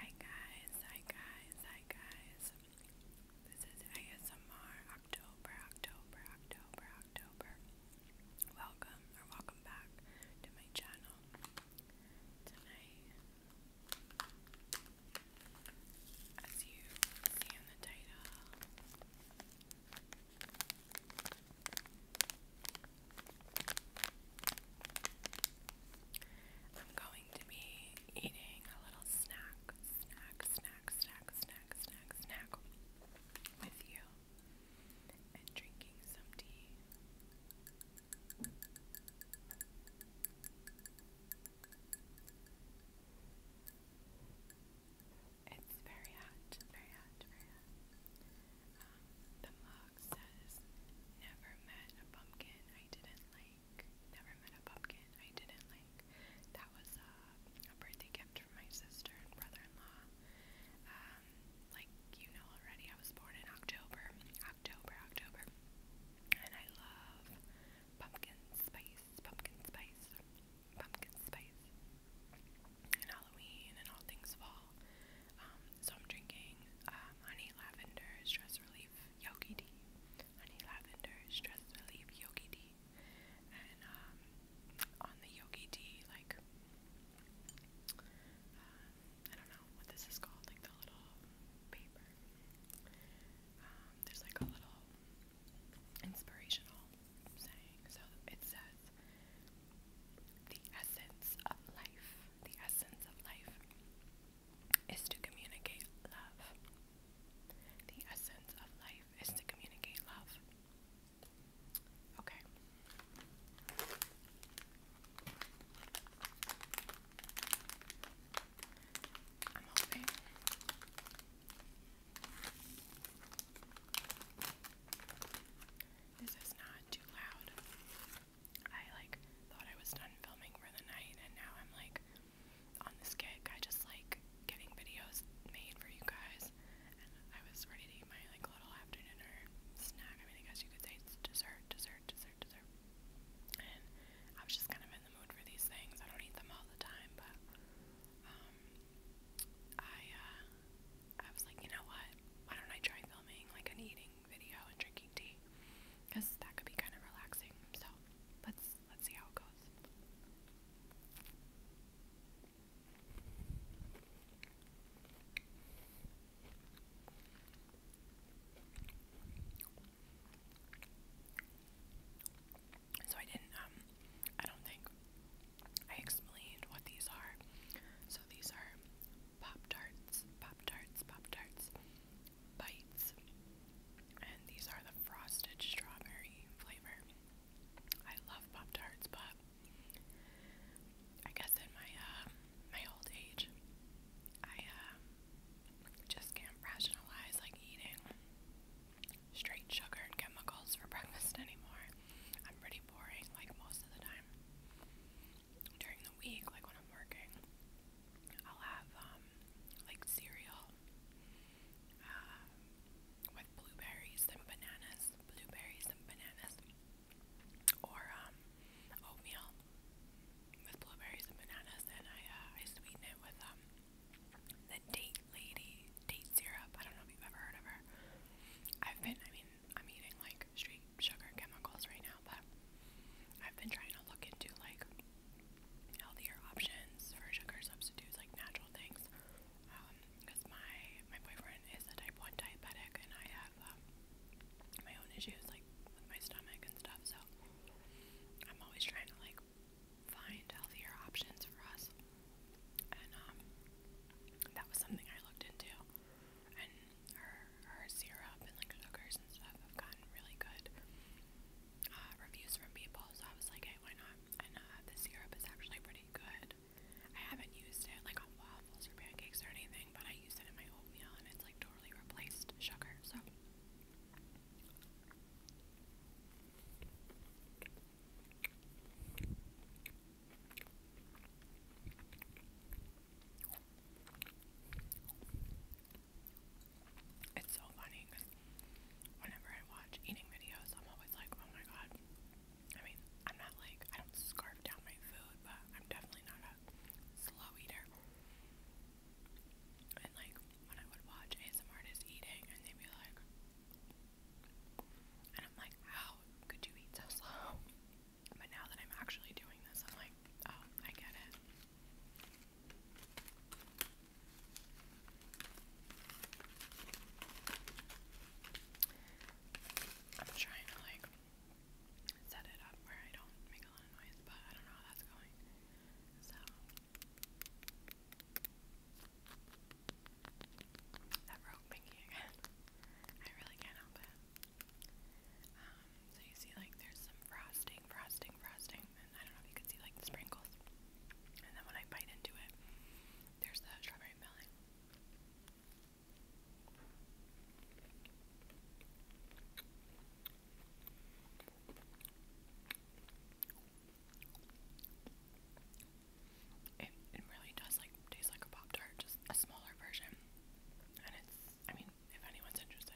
Hi guys, hi guys, hi guys. This is ASMR October, October, October, October. Welcome or welcome back to my channel. Tonight, as you see in the title, I'm going to be eating a little snack, snack, snack, snack, snack, snack, snack with you and drinking some tea. It's very hot, very hot, very hot. Um, the mug says, Never met a pumpkin I didn't like. Never met a pumpkin I didn't like. That was uh, a birthday gift from my sister and brother in law. Um, like you know already, I was born in October. October, October. And I love pumpkin spice, pumpkin spice, pumpkin spice, and Halloween, and all things fall. Um, so I'm drinking um, honey lavender stress relief yogi tea. Honey lavender stress relief yogi tea. And um, on the yogi tea, like uh, I don't know what this is called, like the little paper. there's like a little inspirational saying. So it says, the essence of life the essence of life is to communicate love. The essence of life is to communicate love. Okay. I'm hoping. This is not too loud. I like thought I was done filming for the night and now I'm like on this kick. I just like getting videos made for you guys and I was ready to eat my like little after snack. I mean I guess you could say dessert, dessert, dessert, dessert. And I was just kind of in the mood for these things. I don't eat them all the time but um I uh, I was like, you know what? Why don't I try filming like an eating video and drinking tea because that could be kind of relaxing. So let's let's see how it goes. So I didn't um, I don't think I explained what these are these are Pop Tarts, Pop Tarts, Pop Tarts, Bites. And these are the frosted strawberry flavor. I love Pop Tarts, but I guess in my uh, my old age, I um, just can't rationalize like eating straight sugar and chemicals for breakfast anymore. I'm pretty boring like most of the time during the week, like when I'm working, I'll have um, like cereal um, with blueberries and bananas, blueberries and bananas, or um, oatmeal with blueberries and bananas, and I uh, I sweeten it with um the date lady date syrup. I don't know if you've ever heard of her. I've been, I mean, I'm eating like straight sugar chemicals right now, but I've been trying to look into like healthier options for sugar substitutes, like natural things. Because um, my my boyfriend is a type one diabetic, and I have um, my own issues like with my stomach and stuff. So I'm always trying to like find healthier options for us, and um, that was something I looked into and her her syrup and like sugars and stuff have gotten really good uh, reviews from people. So I was like, hey, why not? And uh, the syrup is actually pretty good. I haven't used it like on waffles or pancakes or anything, but I use it in my oatmeal and it's like totally replaced sugar. So. It's so funny because whenever I watch eating videos, I'm always like, oh my god. I mean, I'm not like, I don't scarf down my food, but I'm definitely not a slow eater. And like, when I would watch ASM artists eating, and they'd be like, and I'm like, how could you eat so slow? But now that I'm actually doing this, I'm like, oh, I get it. I'm trying to like set it up where I don't make a lot of noise, but I don't know how that's going. So that wrote Pinky again. I really can't help it. Um, so you see like there's some frosting, frosting, frosting, and I don't know if you can see like the sprinkles. And then when I bite into it, there's the strawberry filling. It, it really does like taste like a Pop Tart, just a smaller version and it's, I mean, if anyone's interested,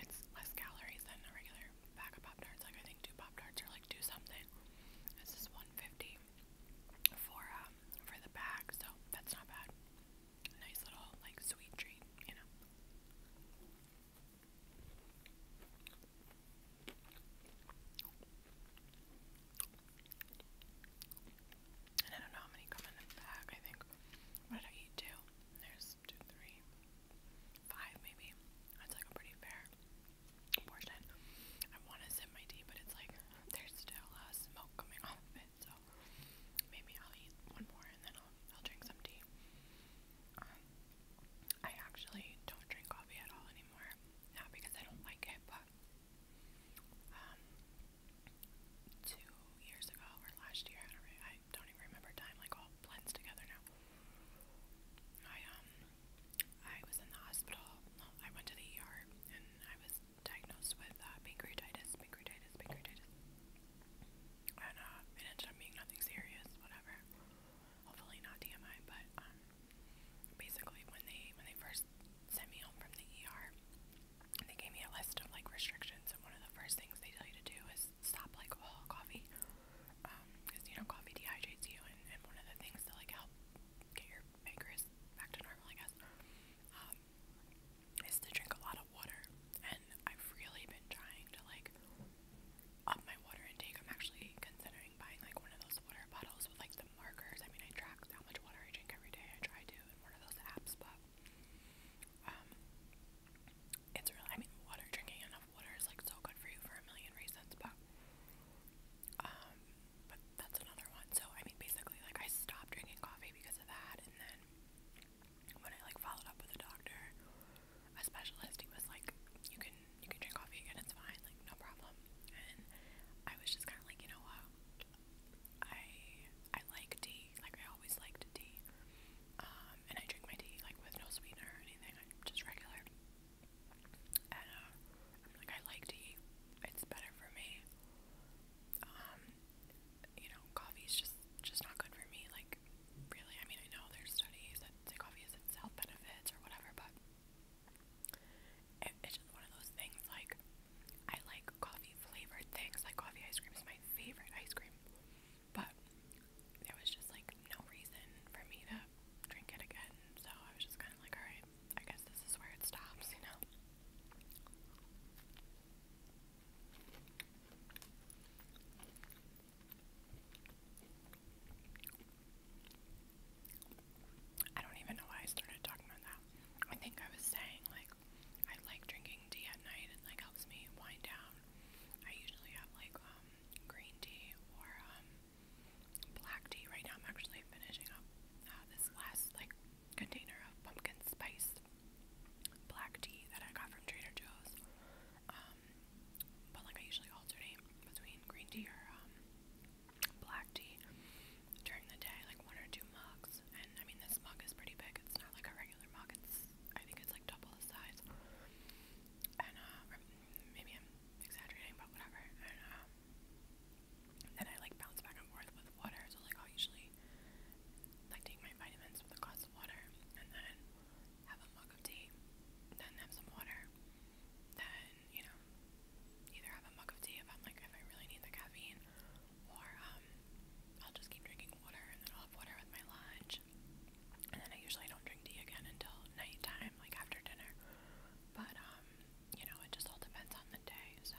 it's less calories than a regular pack of Pop Tarts. Like, I think two Pop Tarts are like two something. This is 150 for, um, for the bag, so that's not bad. Nice little, like, sweet treat, you know. And I don't know how many come in the bag. I think what did I eat? Two. There's two, three, five maybe. That's like a pretty fair portion. I want to sip my tea, but it's like there's still uh, smoke coming off it, so maybe I'll eat one more and then I'll, drink some tea. Um, I actually don't drink coffee at all anymore. Not because I don't like it, but um, two years ago or last year. I don't, even remember time. Like all blends together now. I um I was in the hospital. I went to the ER and I was diagnosed with uh, pancreatitis, pancreatitis, pancreatitis. And uh, it ended up nothing serious, whatever. Hopefully not TMI, but um, basically when they when they first sent me home from the ER, and they gave me a list of like restrictions, and one of the first things they tell you to do is stop like all coffee, because um, you know coffee dehydrates you, and, and one of the things to like help get your pancreas back to normal, I guess, um, is to drink a lot of water. And I've really been trying to like up my water intake. I'm actually considering buying like one of those water bottles with like the markers. I mean, I track how much water I drink every day. I try to in one of those apps, but um, it's really, I mean, water, drinking enough water is like so good for you for a million reasons, but, um, but that's another one. So, I mean, basically, like, I stopped drinking coffee because of that, and then when I like followed up with a doctor, a specialist, he was like, you can, you can drink coffee again, it's fine, like, no problem. And I was just kind of like, you know what? I, I like tea. Like I always liked tea. Um, and I drink my tea like with no sweetener or anything. just regular. And uh, like I like tea. It's better for me. Um, you know, coffee's just just not good for me. Like really, I mean, I know there's studies that say coffee has health benefits or whatever, but it's just one of those things. Like I like coffee flavored things. Like coffee ice cream is my favorite ice cream. But there was just like no reason for me to drink it again. So I was just kind of like, all right, I guess this is where it stops, you know? I don't even know why I started talking about that. I think I was saying, like, I like drinking tea at night and, like, helps me wind down. I usually have like um, green tea or um, black tea. Right now I'm actually finishing up uh, this last like container of pumpkin spice black tea that I got from Trader Joe's. Um, but like I usually alternate between green tea or black tea during the day, like one or two mugs, I mean, this mug is pretty big. It's not like a regular mug. It's I think it's like double the size. And uh, maybe I'm exaggerating, but whatever. And um, then I like bounce back and forth with water. So like i usually like take my vitamins with a glass of water, and then have a mug of tea, then have some water, then you know either have a mug of tea if I'm like if I really need the caffeine, or um I'll just keep drinking water and then I'll have water with my lunch. And then I usually don't drink tea again until nighttime, like after dinner. But, um, you know, it just all depends on the day, so.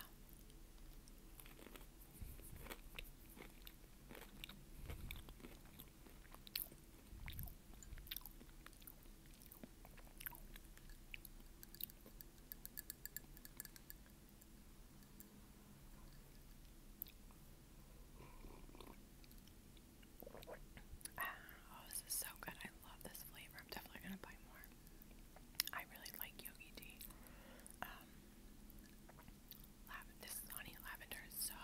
Ah, oh, this is so good. I love this flavor. I'm definitely going to buy more. I really like yogi tea. Um, this honey lavender is so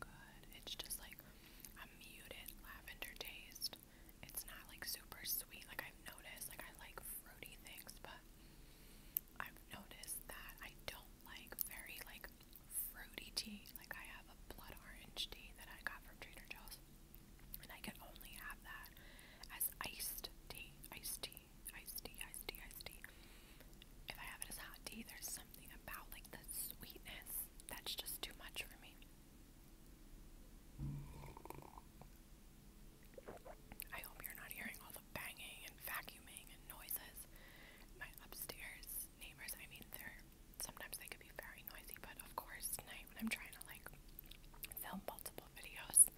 good. It's just like a muted lavender taste. It's not like super sweet. Like I've noticed, like I like fruity things, but I've noticed that I don't like very like fruity tea. Like I have a blood orange tea that I got from Trader Joe's. And I can only have that as iced tea. Iced tea. Iced tea. Iced tea. Iced tea. If I have it as hot tea, there's something about like the sweetness that's just too much for me. I hope you're not hearing all the banging and vacuuming and noises my upstairs neighbors. I mean, they're sometimes they could be very noisy, but of course, tonight when I'm trying to like film multiple videos,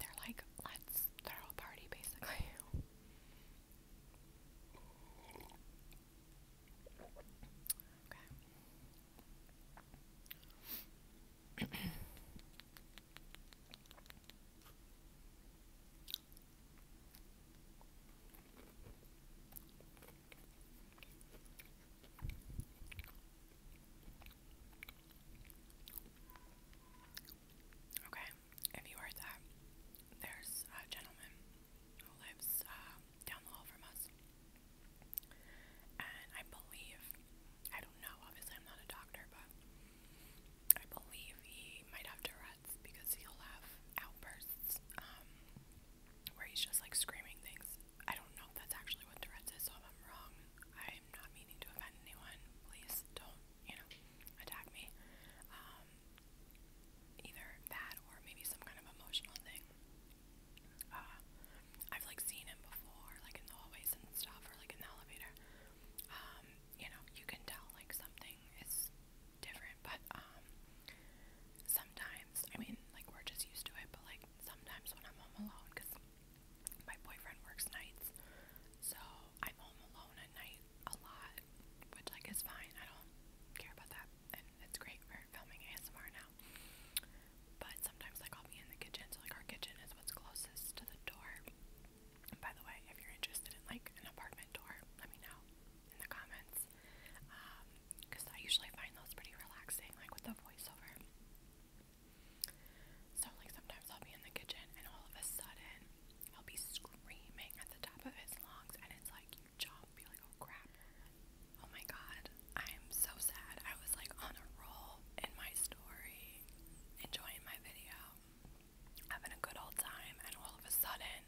they're like, let's throw a party basically. Okay. Okay, if you heard that, there's a gentleman who lives uh, down the hall from us. And I believe, I don't know, obviously I'm not a doctor, but I believe he might have Tourette's because he'll have outbursts um, where he's just like screaming things. I don't know if that's actually what Tourette's is, so if I'm wrong, I'm not meaning to offend anyone. Please don't, you know, attack me. Um, either that or maybe some kind of emotional thing. Uh, I've like seen him before, like in the hallways and stuff, or like in the elevator. Um, you know, you can tell like something is different, but um sometimes, I mean, like we're just used to it, but like sometimes when I'm home alone cuz my boyfriend works nights, so I'm home alone at night a lot, which like is fine. I don't care about that. And it's great for filming ASMR now. But sometimes like I'll be in the kitchen, so like our kitchen is what's closest to the door by the way, if you're interested in like an apartment tour, let me know in the comments. Because um, I usually find those pretty relaxing, like with the voiceover. So, like, sometimes I'll be in the kitchen and all of a sudden I'll be screaming at the top of his lungs, and it's like you jump, you're like, oh crap. Oh my god, I'm so sad. I was like on a roll in my story, enjoying my video having a good old time, and all of a sudden,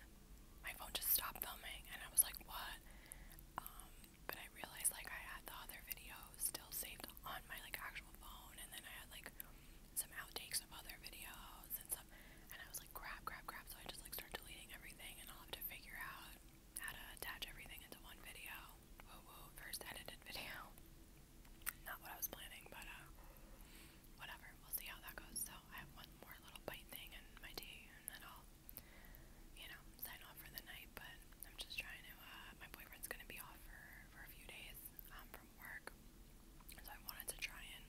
my phone just stopped filming, and I was like, what? Um, but I realized, like, I had the other videos still saved on my, like, actual phone, and then I had, like, some outtakes of other videos and stuff, and I was like, crap, crap, crap, so I just, like, started deleting everything, and I'll have to figure out how to attach everything into one video. Whoa, whoa, first edited video. Not what I was planning, but, uh, whatever, we'll see how that goes. So I have one more little bite thing in my tea, and I'll, you know, sign off for the night. But I'm just trying to. Uh, my boyfriend's gonna be off for for a few days um, from work, so I wanted to try and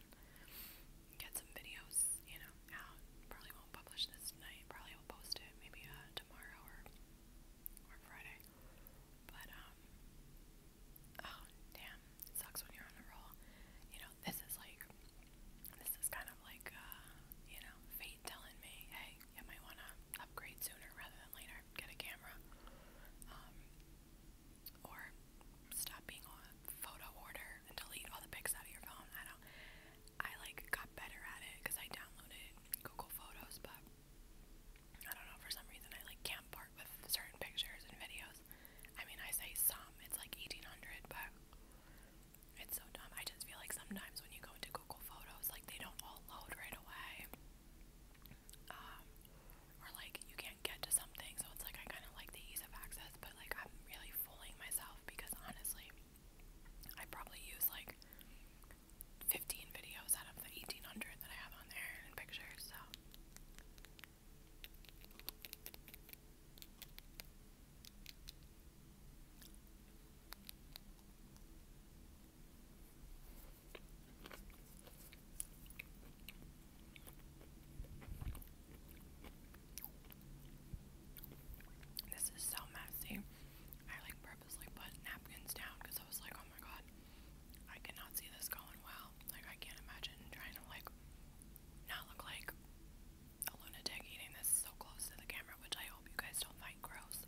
get some videos, you know, out. Probably won't publish this tonight. Probably will post it maybe uh, tomorrow or or Friday. But um, Oh damn, it sucks when you're on a roll. You know, this is like, this is kind of like, uh, you know, fate telling me, hey, you might want to upgrade sooner rather than later. Get a camera, um, or stop being on photo order and delete all the pics out of your phone. I don't. I like got better at it because I downloaded Google Photos, but. I don't know, for some reason I like can't part with certain pictures and videos. I mean, I say some, it's like 1800, but it's so dumb. I just feel like sometimes when you go into Google Photos, like they don't all load right away. Um, or like you can't get to something, so it's like I kind of like the ease of access, but like I'm really fooling myself because honestly, I probably use like 15 videos out of the 1800 that I have on there in pictures, so this is so messy. I like purposely put napkins down because I was like, oh my god, I cannot see this going well. Like I can't imagine trying to like not look like a lunatic eating this so close to the camera, which I hope you guys don't find gross.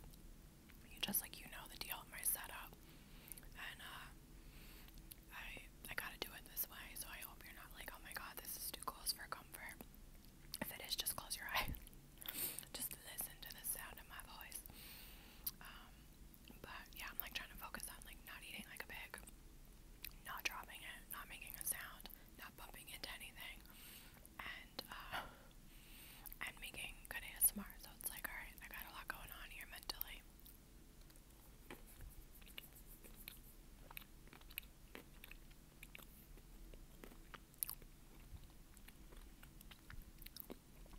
You just like you know the deal with my setup, and uh, I I gotta do it this way. So I hope you're not like, oh my god, this is too close for comfort. If it is, just close your eyes. just listen to the sound of my voice. Um, but yeah, I'm like trying to focus on like not eating like a pig, not dropping it, not making a sound, not bumping into anything, and uh, and making good ASMR. So it's like, all right, I got a lot going on here mentally.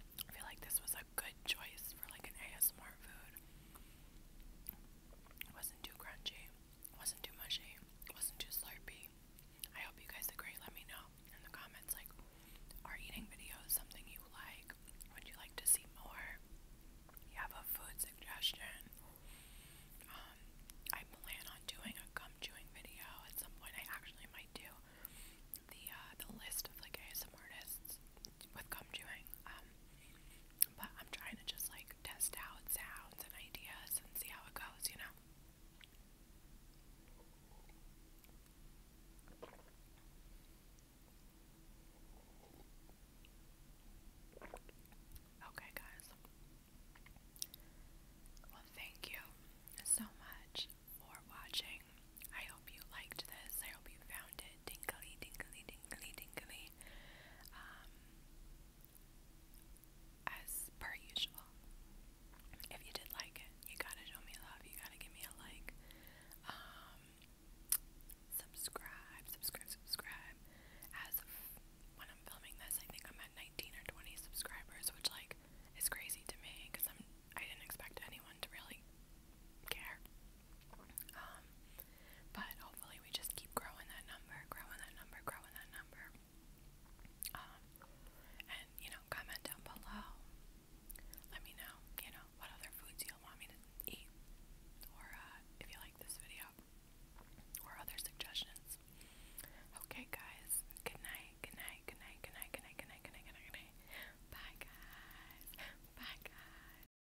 I feel like this was a good choice for like an ASMR food. It wasn't too crunchy, wasn't too mushy, wasn't too slurpy. I hope you guys agree. Let me know in the comments like are eating videos something you like? Would you like to see more? You have a food suggestion. Um, I plan on doing a gum chewing video at some point. I actually might do the uh, the list of like ASM artists with gum chewing. Um, but I'm trying to just like test out sounds and ideas and see how it goes, you know? Okay, guys. Well, thank you so much for watching. I hope you liked this. I hope you found it tingly, tingly, tingly, tingly. Um, as per usual. If you did like it, you gotta show me love, you gotta give me a like, um, subscribe, subscribe, subscribe. As when I'm filming this, I think I'm at 19 or 20 subscribers, which, like, is crazy to me because I'm I didn't expect anyone to really care. Um, but hopefully we just keep growing that number, growing that number, growing that number. Um, and you know, comment down below. Let me know, you know, what other foods you want me to eat, or uh, if you like this video, or other suggestions. Okay, guys. Good night. Good night. Good night. Good night. Good night. Good night. Good night. Good night. Bye, guys. Bye, guys.